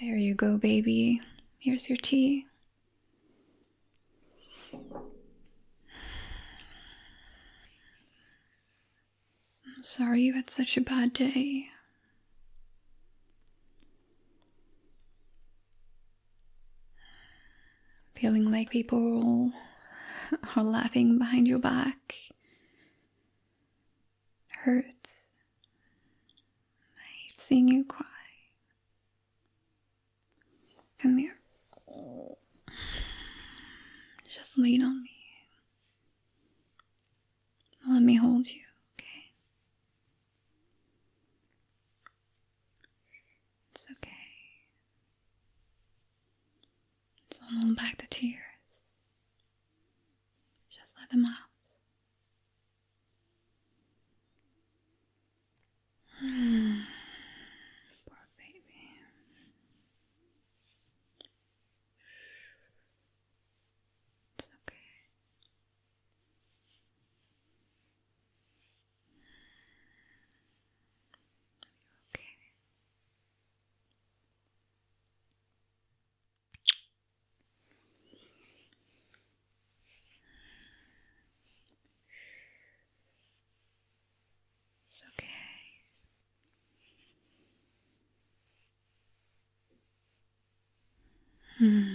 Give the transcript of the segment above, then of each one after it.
There you go, baby. Here's your tea. I'm sorry you had such a bad day. Feeling like people are laughing behind your back hurts. I hate seeing you cry. Come here. Just lean on me. Let me hold you, okay? It's okay. Don't hold back the tears. Just let them out. Hmm. Poor baby. It's okay. Are you okay? It's okay. Hmm.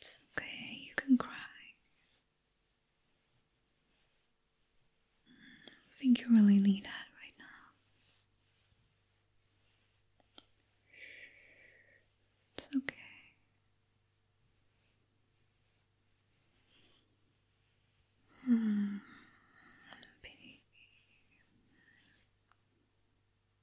It's okay, you can cry. I think you really need that right now. It's okay. Hmm, baby.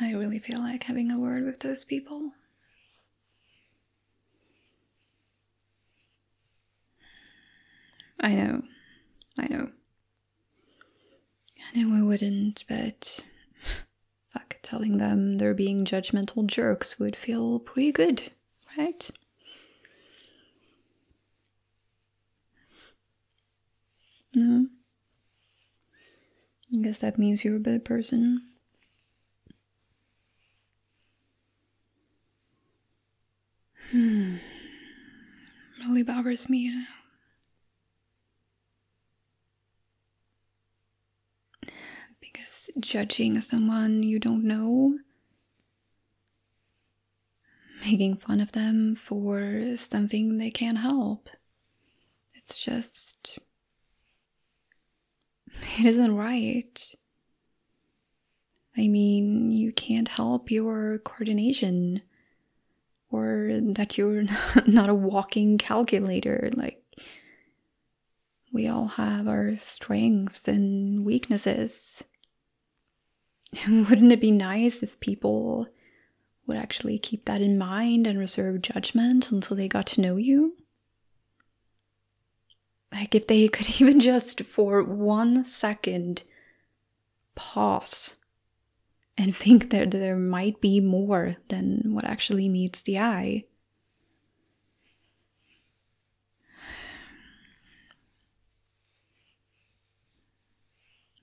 I really feel like having a word with those people. I know. I know. I know we wouldn't, but fuck, telling them they're being judgmental jerks would feel pretty good, right? No? I guess that means you're a better person. Hmm. Really bothers me, you know. Because judging someone you don't know making fun of them for something they can't help. It's just. It isn't right. I mean, you can't help your coordination or that you're not a walking calculator. Like, we all have our strengths and weaknesses. Wouldn't it be nice if people would actually keep that in mind and reserve judgment until they got to know you? Like, if they could even just for one second pause and think that there might be more than what actually meets the eye.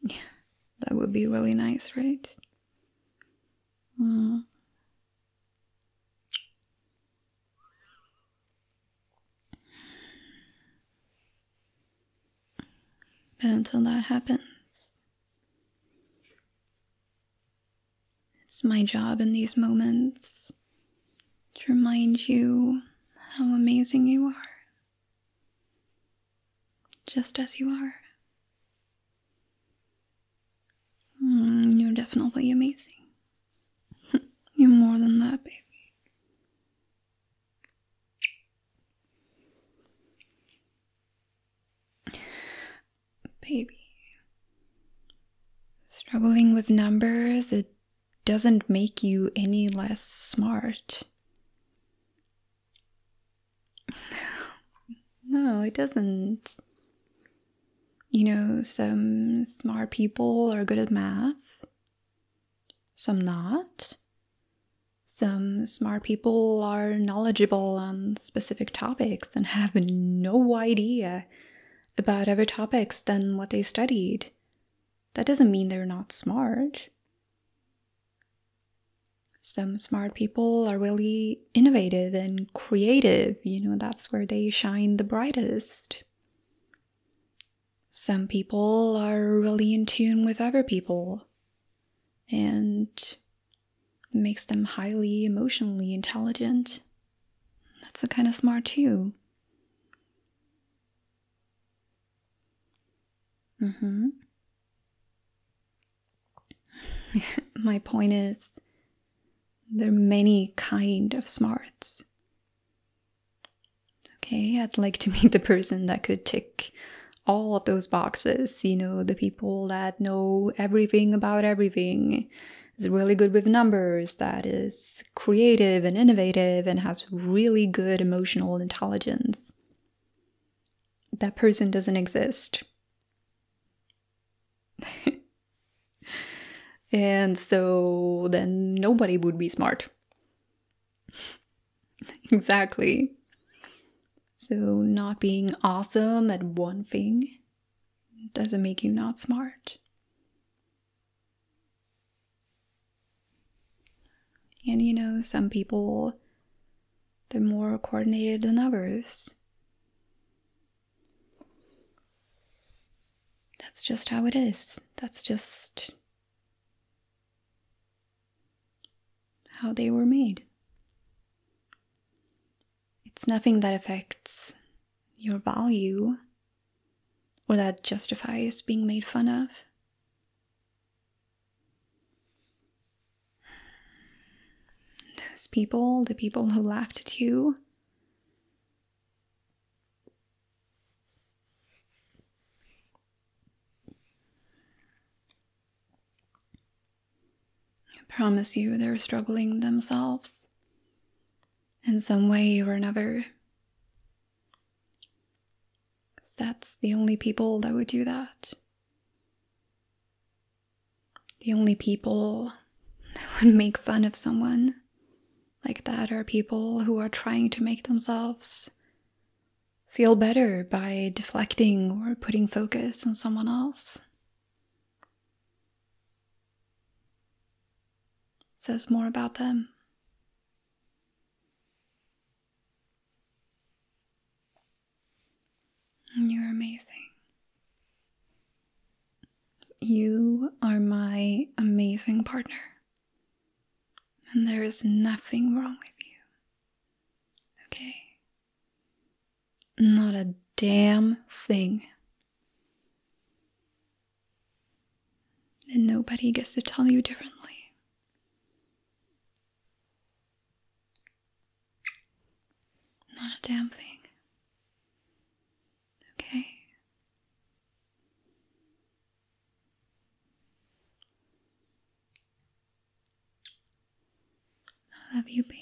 Yeah, that would be really nice, right? Mm. But until that happens, it's my job in these moments to remind you how amazing you are, just as you are. Mm, you're definitely amazing. you're more than that, baby baby. Struggling with numbers, it doesn't make you any less smart. no, it doesn't. You know, some smart people are good at math, some not. Some smart people are knowledgeable and specific topics and have no idea about other topics than what they studied. That doesn't mean they're not smart. Some smart people are really innovative and creative, you know, that's where they shine the brightest. Some people are really in tune with other people, and makes them highly emotionally intelligent. That's a kind of smart too. Mm-hmm. My point is there are many kind of smarts. Okay, I'd like to meet the person that could tick all of those boxes. You know, the people that know everything about everything, is really good with numbers, that is creative and innovative, and has really good emotional intelligence. That person doesn't exist. and so then nobody would be smart. exactly. So, not being awesome at one thing doesn't make you not smart. And you know, some people they're more coordinated than others. That's just how it is. That's just how they were made. It's nothing that affects your value or that justifies being made fun of. Those people, the people who laughed at you, I promise you they're struggling themselves in some way or another. Because that's the only people that would do that. The only people that would make fun of someone like that are people who are trying to make themselves feel better by deflecting or putting focus on someone else. says more about them. You're amazing. You are my amazing partner. And there is nothing wrong with you. Okay? Not a damn thing. And nobody gets to tell you differently. Not a damn thing. Okay? I love you, baby.